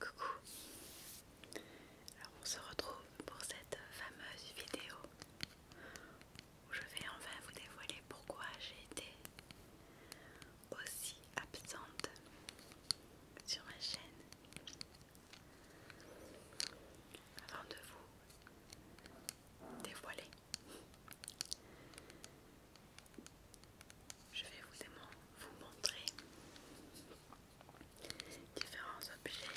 Coucou Alors on se retrouve pour cette fameuse vidéo où je vais enfin vous dévoiler pourquoi j'ai été aussi absente sur ma chaîne. Avant de vous dévoiler je vais vous, montrer différents objets.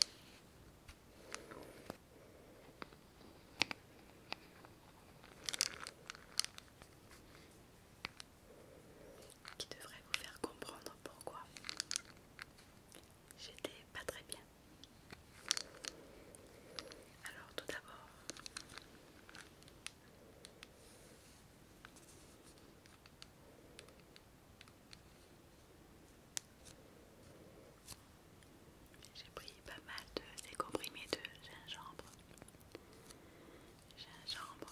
Qui devraient vous faire comprendre pourquoi j'étais pas très bien. Alors, tout d'abord, j'ai pris pas mal de ces comprimés de gingembre. Gingembre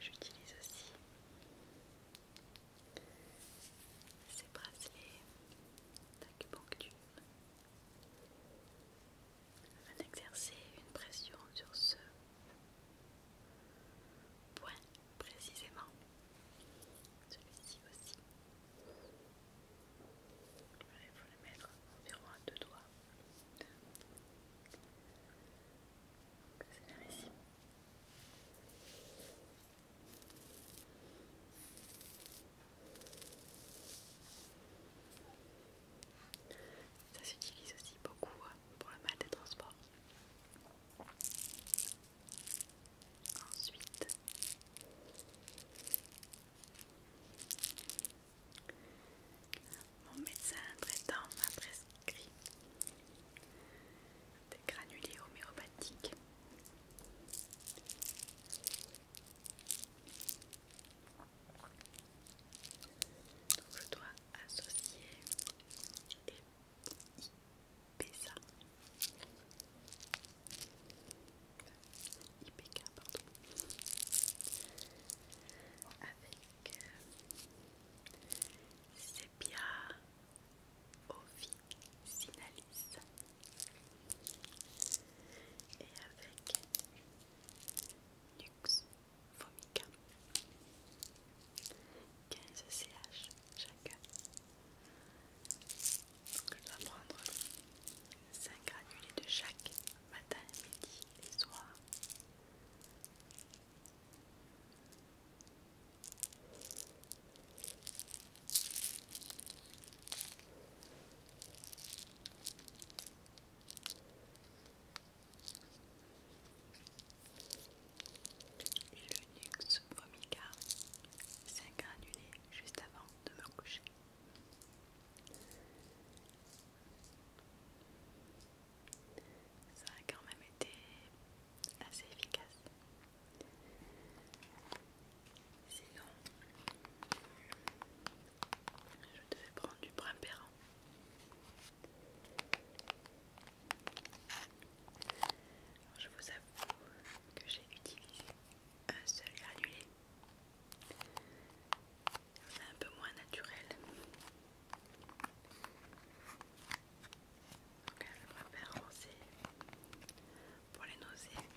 j'utilise aussi ces bracelets d'acupuncture afin d'exercer une pression sur ce point précisément. Celui-ci aussi. il faut le mettre environ à deux doigts. C'est ici. Ça s'utilise aussi beaucoup hein, pour le mal des transports. Ensuite, mon médecin traitant m'a prescrit des granulés homéopathiques. Donc je dois associé et IPSA. IPK, pardon. Avec Sepia Officinalis et avec Nux 15 CH chacun. je prendre 5 granulés de chaque matin, midi et soir. 5 5 annulé juste avant de me coucher. Ça a quand même été assez efficace. Sinon, je devais prendre du brin je vous avoue que j'ai utilisé un seul granulé. C'est un peu moins naturel. Donc je préfère roncer pour les nausées.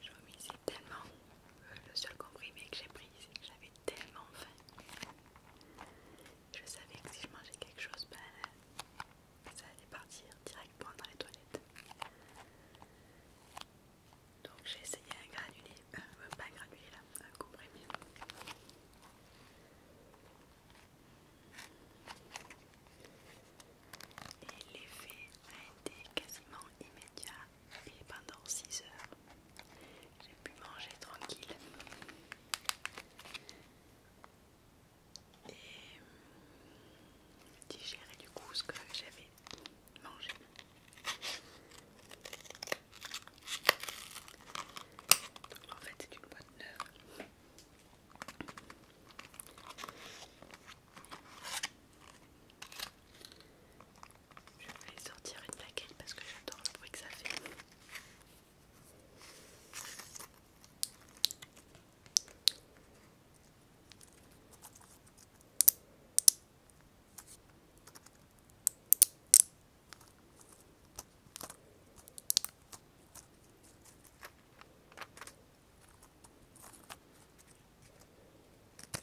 Je mis tellement le seul comprimé que j'ai pris, c'est que j'avais tellement faim. Je savais que si je mangeais quelque chose, ben, ça allait partir directement dans les toilettes. Donc j'ai essayé un granulé, pas euh, un granulé là, un comprimé. Et l'effet a été quasiment immédiat et pendant 6 heures, j'ai pu manger tranquille. Et hum, digérer du coup ce que j'avais mangé. en fait, c'est une boîte neuve. Je vais sortir une plaquette parce que j'adore le bruit que ça fait.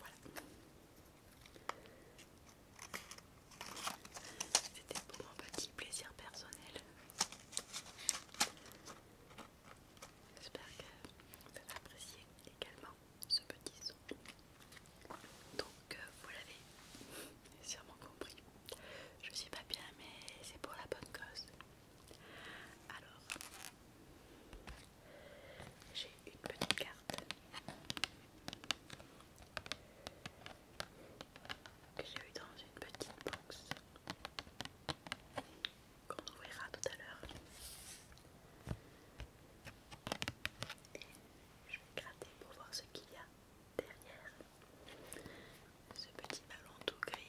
Voilà. C'était pour mon petit plaisir personnel. J'espère que vous avez apprécié également ce petit son. Donc euh, vous l'avez sûrement compris. Je suis pas bien mais c'est pour la bonne cause. Alors, j'ai une petite carte que j'ai eu dans une petite box qu'on ouvrira tout à l'heure. Je vais gratter pour voir ce qu'il y a derrière ce petit ballon tout gris.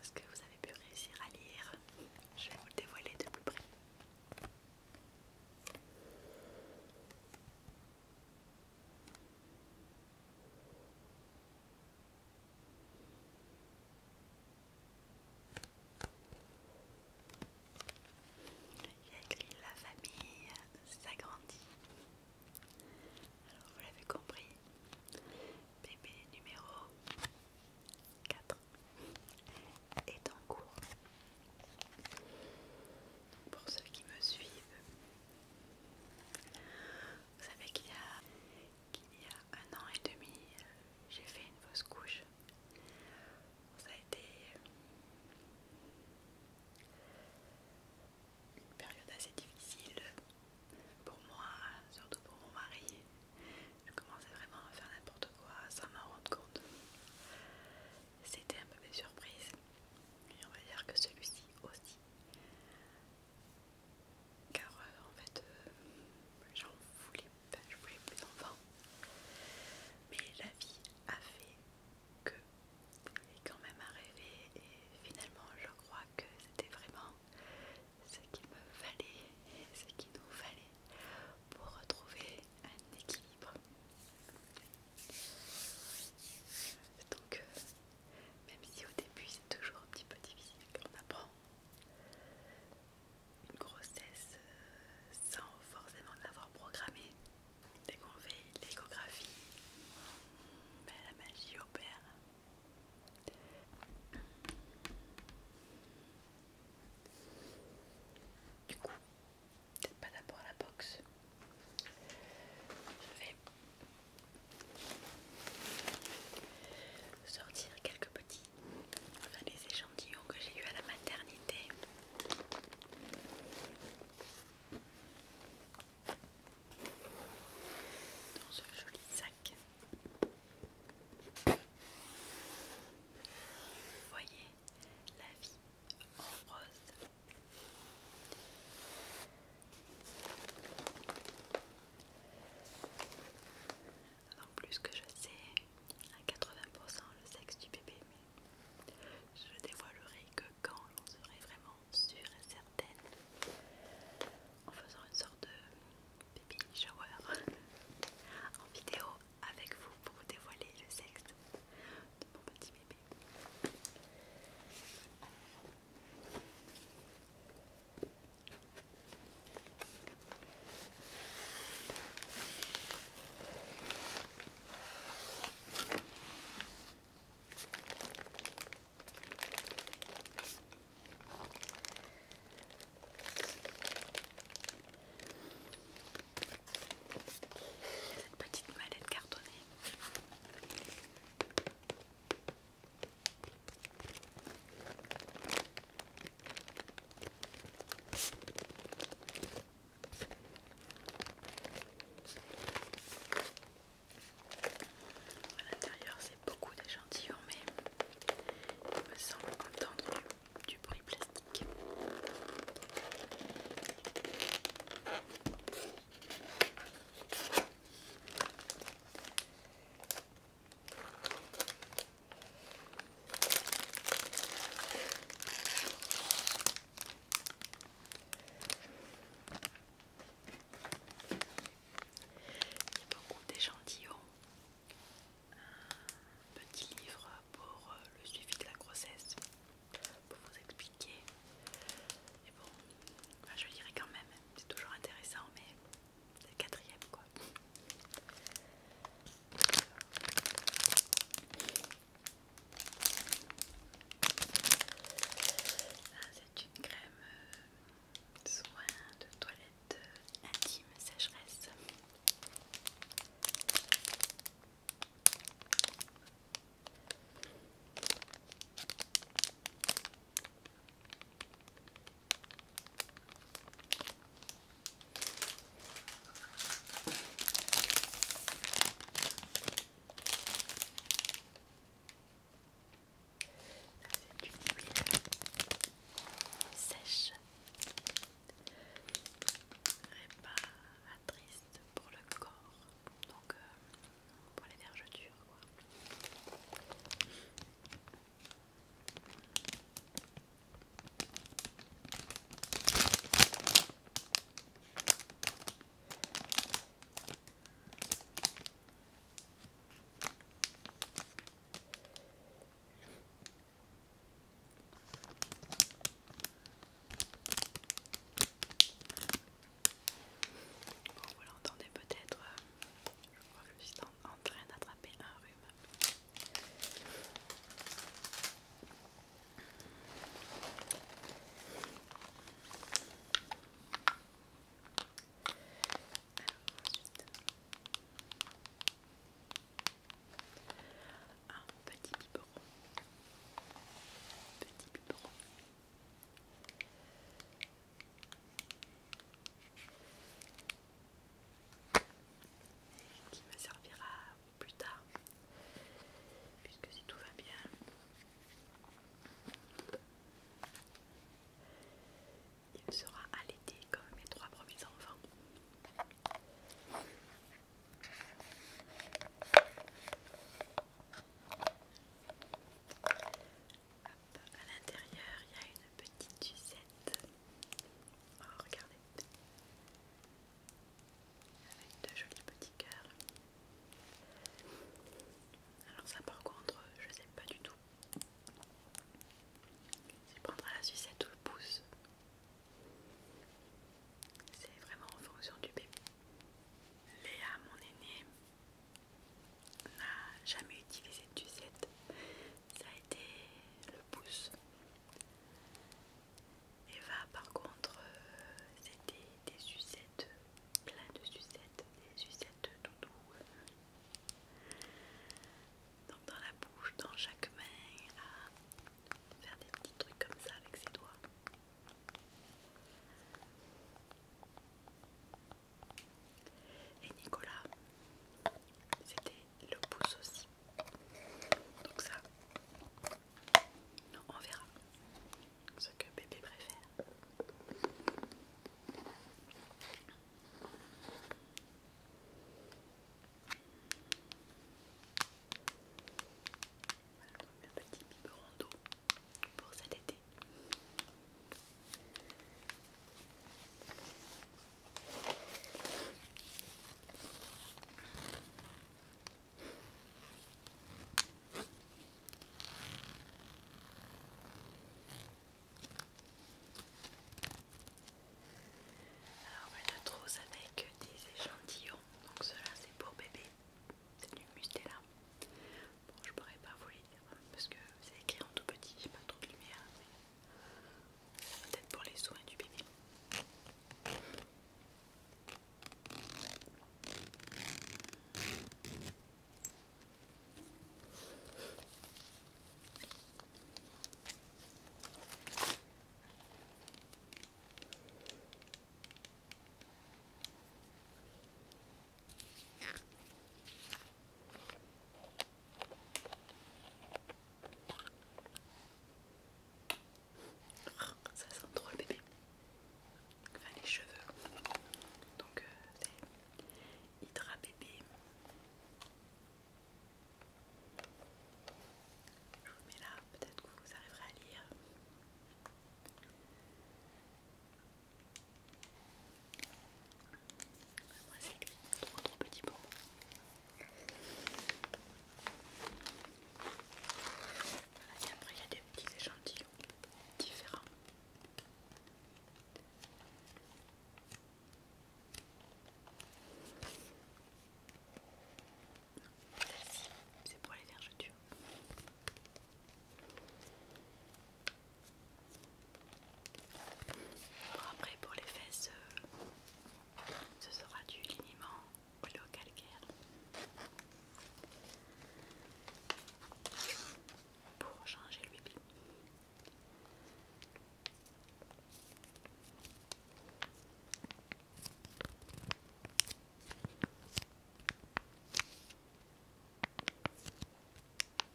est-ce que vous avez pu réussir à lire Je vais vous le dévoiler de plus près la famille s'agrandit. Alors vous l'avez compris, bébé numéro 4 est en cours. pour ceux qui me suivent, vous savez qu'il y a il y a un an et demi, j'ai fait une fausse couche. Ça a été une période assez difficile pour moi, surtout pour mon mari. Je commençais vraiment à faire n'importe quoi sans m'en rendre compte. C'était un peu mes surprises. Et on va dire que celui-ci aussi car euh, en fait j'en euh, voulais pas, je voulais plus d'enfants. Mais la vie a fait que est quand même arrivé et finalement je crois que c'était vraiment ce qu'il me fallait et ce qu'il nous fallait pour retrouver un équilibre. Donc euh, même si au début c'est toujours un petit peu difficile, qu'on apprend une grossesse euh, sans forcément l'avoir programmée. Dès qu'on fait l'échographie, ben, la magie opère. Du coup, peut-être pas d'abord la box. Je vais sortir quelques petits voilà les échantillons que j'ai eu à la maternité. Dans ce joli sac. voyez la vie en rose en plus que je sais à 80% le sexe du bébé, mais je dévoilerai que quand j'en serai vraiment sûre et certaine, en faisant une sorte de baby shower en vidéo avec vous pour vous dévoiler le sexe de mon petit bébé. Cette petite mallette cartonnée. À l'intérieur, c'est beaucoup d'échantillons, mais il me semble entendre du bruit plastique. Il y a beaucoup d'échantillons. Un petit livre pour euh, le suivi de la grossesse, pour vous expliquer. Et bon, bah, je lirai quand même, c'est toujours intéressant, mais c'est quatrième quoi. Ah, c'est une crème euh, soin de toilette euh, intime sécheresse c'est du huile sèche réparatrice pour le corps donc euh, pour les vergetures Bon, vous l'entendez peut-être, euh, je crois que je suis en, en train d'attraper un petit biberon, petit biberon, qui me servira plus tard puisque si tout va bien il sera allaité comme mes trois premiers enfants à l'intérieur, il y a une petite sucette. Oh, regardez. Avec de jolis petits cœurs. Alors ça par contre, je sais pas du tout. Si prendre la sucette ou le pouce. C'est vraiment en fonction du bébé. Léa, mon aînée, n'a jamais utilisé de sucette, ça a été le pouce. Eva, par contre, euh, c'était des sucettes, plein de sucettes, des sucettes tout Donc, dans la bouche, dans chaque main, faire des petits trucs comme ça avec ses doigts. Et Nicolas, c'était le pouce aussi. Donc ça, on verra ce que bébé préfère. Voilà, un petit biberon d'eau pour cet été. Alors voilà trousse avec des échantillons. Donc cela c'est pour bébé. C'est du Mustela. Bon je pourrais pas vous les parce que c'est écrit en tout petit, j'ai pas trop de lumière. Peut-être pour les soins du bébé. Oh, ça sent trop bébé. Enfin les cheveux. Donc euh, c'est Hydra bébé. Je vous mets là, peut-être que vous arriverez à lire. Moi c'est trop trop petit pour moi. Et après il y a des petits échantillons différents. C'est pour les vergetures après pour les fesses, euh, ce sera du liniment calcaire. Pour changer le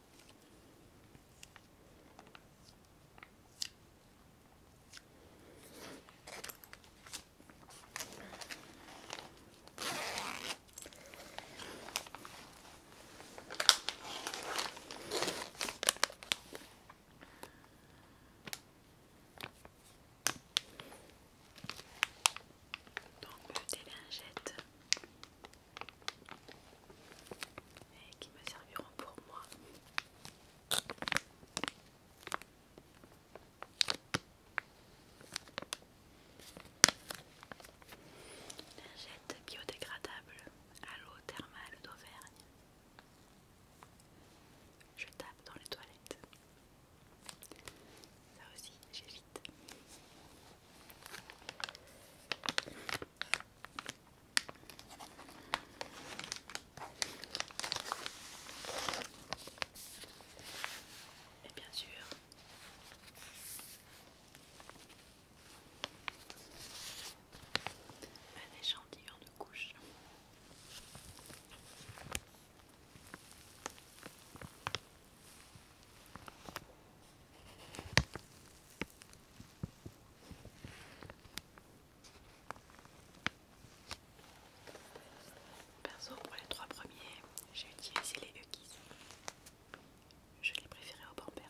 donc des lingettes et qui me serviront pour moi. Lingette biodégradable à l'eau thermale d'Auvergne. Je tape dans les toilettes. Ça aussi, j'évite. Et bien sûr, un échantillon de couche. Perso, pour les trois premiers, j'ai utilisé les Huggies. Je les préférais aux Pampers.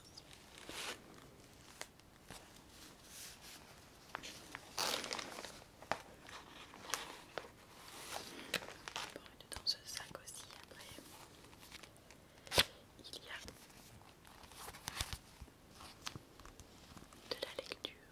Bon, et dans ce sac aussi, après, il y a de la lecture.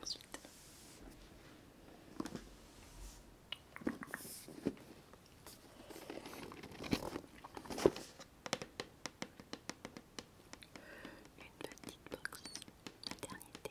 Ensuite, une petite boxe, box maternité.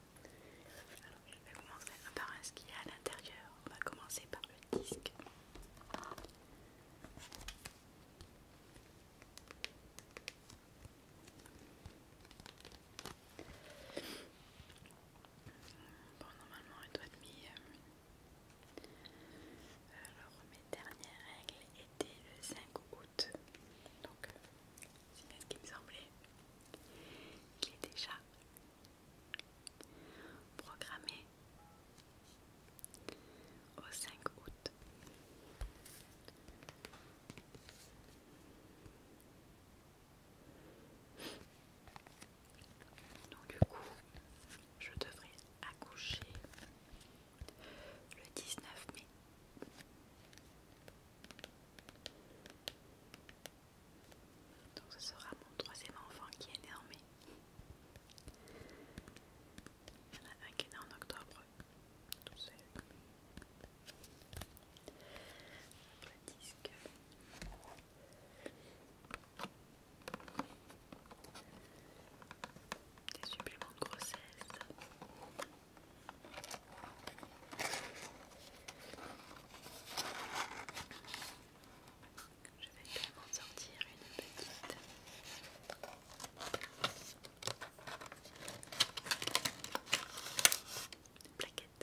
Alors je vais commencer par ce qu'il y a à l'intérieur. On va commencer par le disque. Bon, normalement, un doit être Alors, mes dernières règles étaient le 5 août. Donc, euh, c'est ce qui me semblait. qu'il est déjà Programmé au 5 août. Donc du coup, je devrais accoucher le 19 mai. Donc ce sera mon troisième enfant qui est né en mai. Il y en a un qui est né en octobre, tout seul. Le disque. Des suppléments de grossesse. Je vais également sortir une petite plaquette.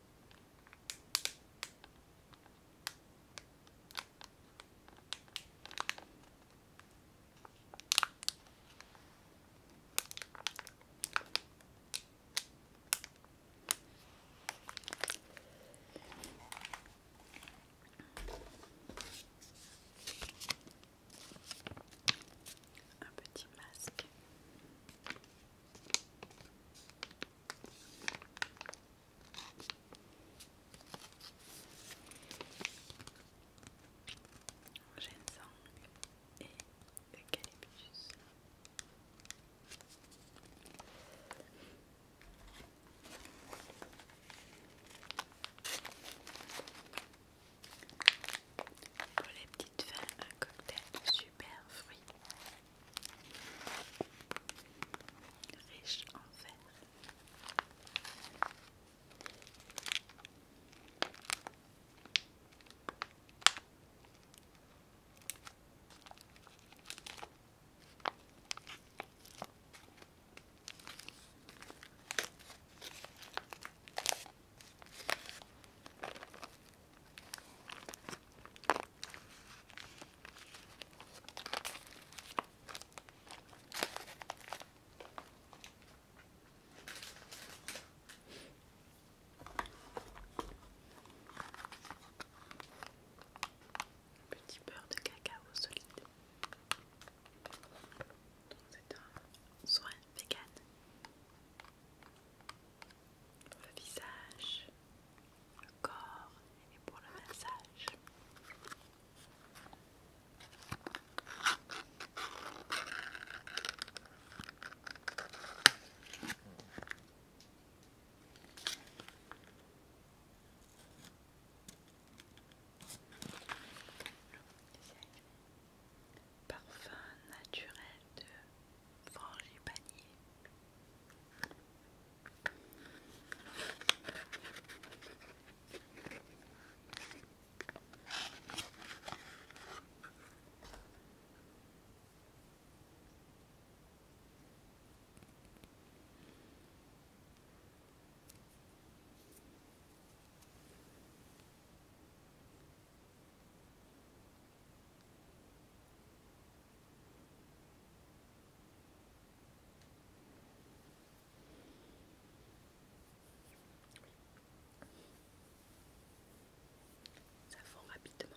Un petit masque. Ginseng et eucalyptus. Pour les petites fins, un cocktail super fruits riche en fer. Petit beurre de cacao solide. C'est un soin vegan le visage, le corps et pour le massage. Parfum naturel de panier. Ça fond rapidement.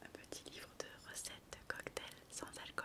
Un petit livre de recettes de cocktails sans alcool.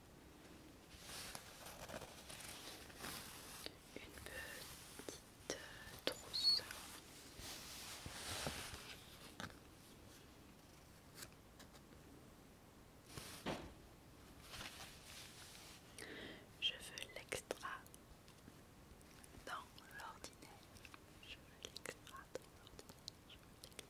une petite trousse. Je veux l'extra dans l'ordinaire. Je veux l'extra dans l'ordinaire. Je veux l'extra dans l'ordinaire.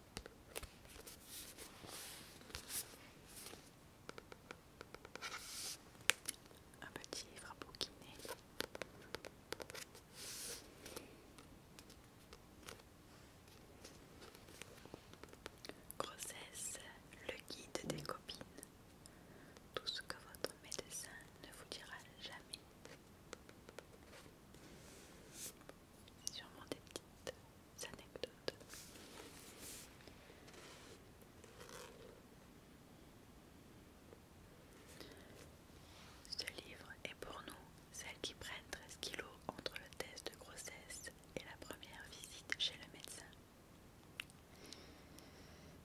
Un petit frappeau qui Grossesse, le guide des copines. Tout ce que votre médecin ne vous dira jamais. Sûrement des petites anecdotes. Ce livre est pour nous celles qui prennent 13 kg entre le test de grossesse et la première visite chez le médecin.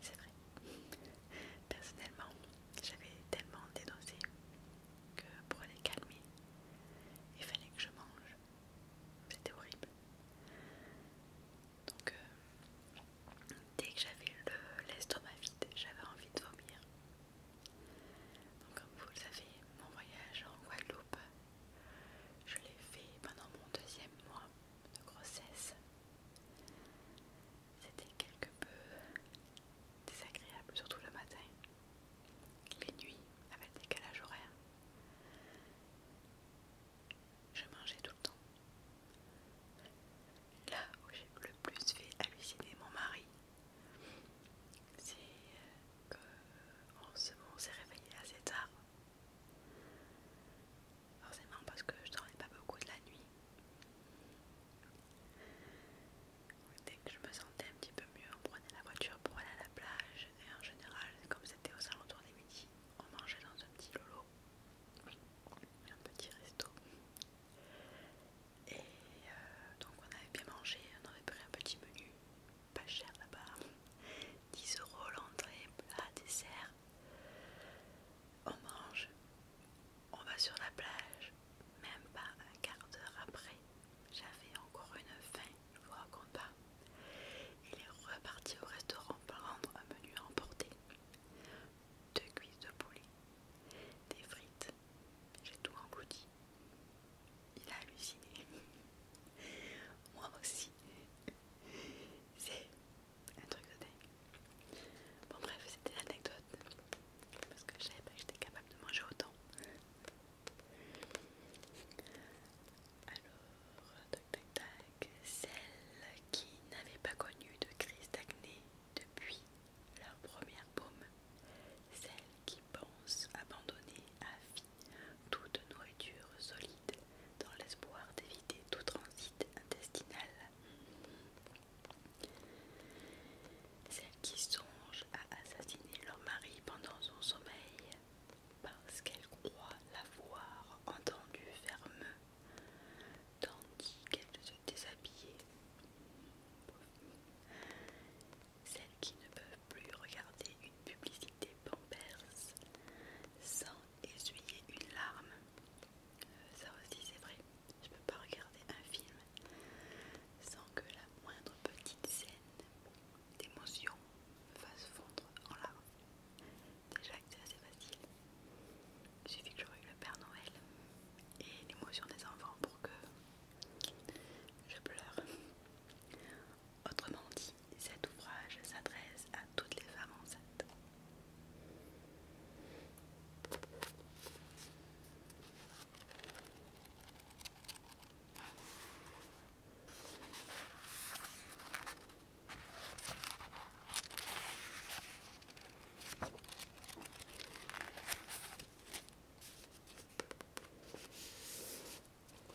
C'est vrai. Personnellement, j'avais tellement dénoncé que pour les calmer, il fallait que je mange. C'était horrible. Donc, euh, dès que j'avais l'estomac vide, j'avais envie de vomir. Donc, comme vous le savez, mon voyage en Guadeloupe, je l'ai fait pendant mon deuxième mois de grossesse. C'était quelque peu désagréable, surtout le matin. Les nuits, avec des décalage horaires. Je mangeais tout le temps. Là où j'ai le plus fait halluciner mon mari, c'est euh, qu'on s'est réveillé assez tard. Forcément parce que je dormais pas beaucoup de la nuit. Dès que je me sentais un petit peu mieux, on prenait la voiture pour aller à la plage et en général, comme c'était aux alentours des midi, on mangeait dans un petit lolo, un petit resto. Et euh, donc on avait bien mangé, on avait pris un petit menu, pas cher là-bas, 10 euros l'entrée, plat, dessert. On mange, on va sur la plage, même pas un quart d'heure après, j'avais encore une faim, je vous raconte pas. Il est reparti au restaurant prendre un menu à emporter. Deux cuisses de poulet, des frites, j'ai tout englouti. Il a halluciné. Moi aussi. C'est un truc de dingue. Bon bref, c'était l'anecdote. Parce que je savais pas que j'étais capable de manger autant. Alors, tac celles qui n'avaient pas connu de crise d'acné depuis leur première paume, celles qui pensent abandonner à vie toute nourriture solide dans l'espoir d'éviter tout transit intestinal celles qui songent à assassiner leur mari pendant son sommeil parce qu'elles croient l'avoir entendu ferme, tandis qu'elles se déshabillaient. Celles qui ne peuvent plus regarder une publicité pampers sans essuyer une larme. Euh, ça aussi c'est vrai, je peux pas regarder un film sans que la moindre petite scène d'émotions me fasse fondre en larmes. Déjà que c'est assez facile. Il suffit que je eu le Père Noël et l'émotion des enfants pour que je pleure. Autrement dit, cet ouvrage s'adresse à toutes les femmes enceintes.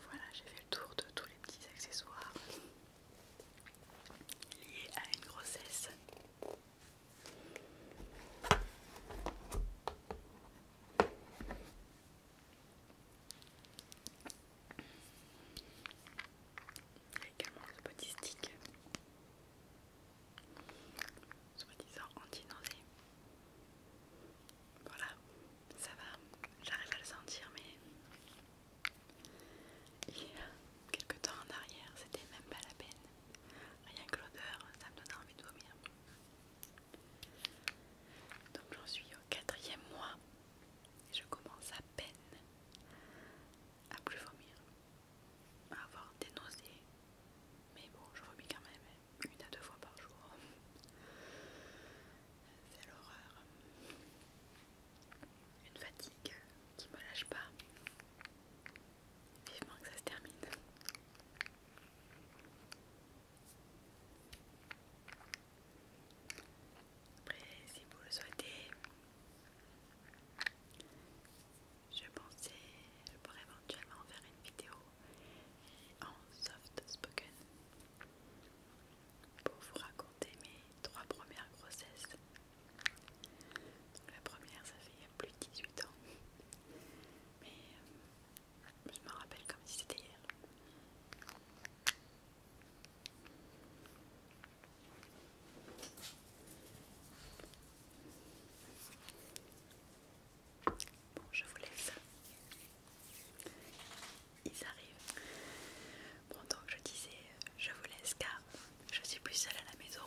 Voilà, j'ai fait le tour de tous les petits accessoires liés à une grossesse. Il y a également le petit stick, soi-disant anti-nausée. Voilà, ça va, j'arrive à le sentir, mais il y a quelques temps en arrière, c'était même pas la peine. Rien que l'odeur, ça me donnait envie de vomir. Donc j'en suis au quatrième mois et je commence à peine à plus vomir, à avoir des nausées. Mais bon, je vomis quand même une à deux fois par jour. C'est l'horreur. Une fatigue qui me lâche pas. Vivement que ça se termine. Après, si vous le souhaitez, je pensais, je pourrais éventuellement faire une vidéo en soft spoken pour vous raconter mes trois premières grossesses. la première, ça fait il y a plus de 18 ans, mais euh, je me rappelle comme si c'était hier. Bon, je vous laisse. Ils arrivent. Bon, donc je disais, je vous laisse car je suis plus seule à la maison.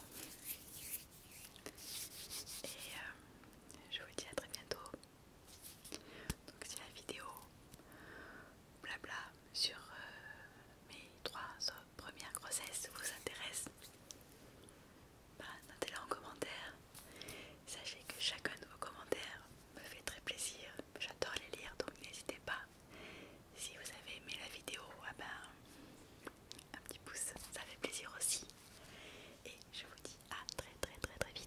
Et euh, je vous dis à très bientôt donc si la vidéo blabla sur euh, mes trois premières grossesses vous intéresse. Bah, notez-la en commentaire. Sachez que chacun de vos commentaires me fait très plaisir. J'adore les lire donc n'hésitez pas. Si vous avez aimé la vidéo, ah ben, un petit pouce, ça fait plaisir aussi. Et je vous dis à très très très très vite.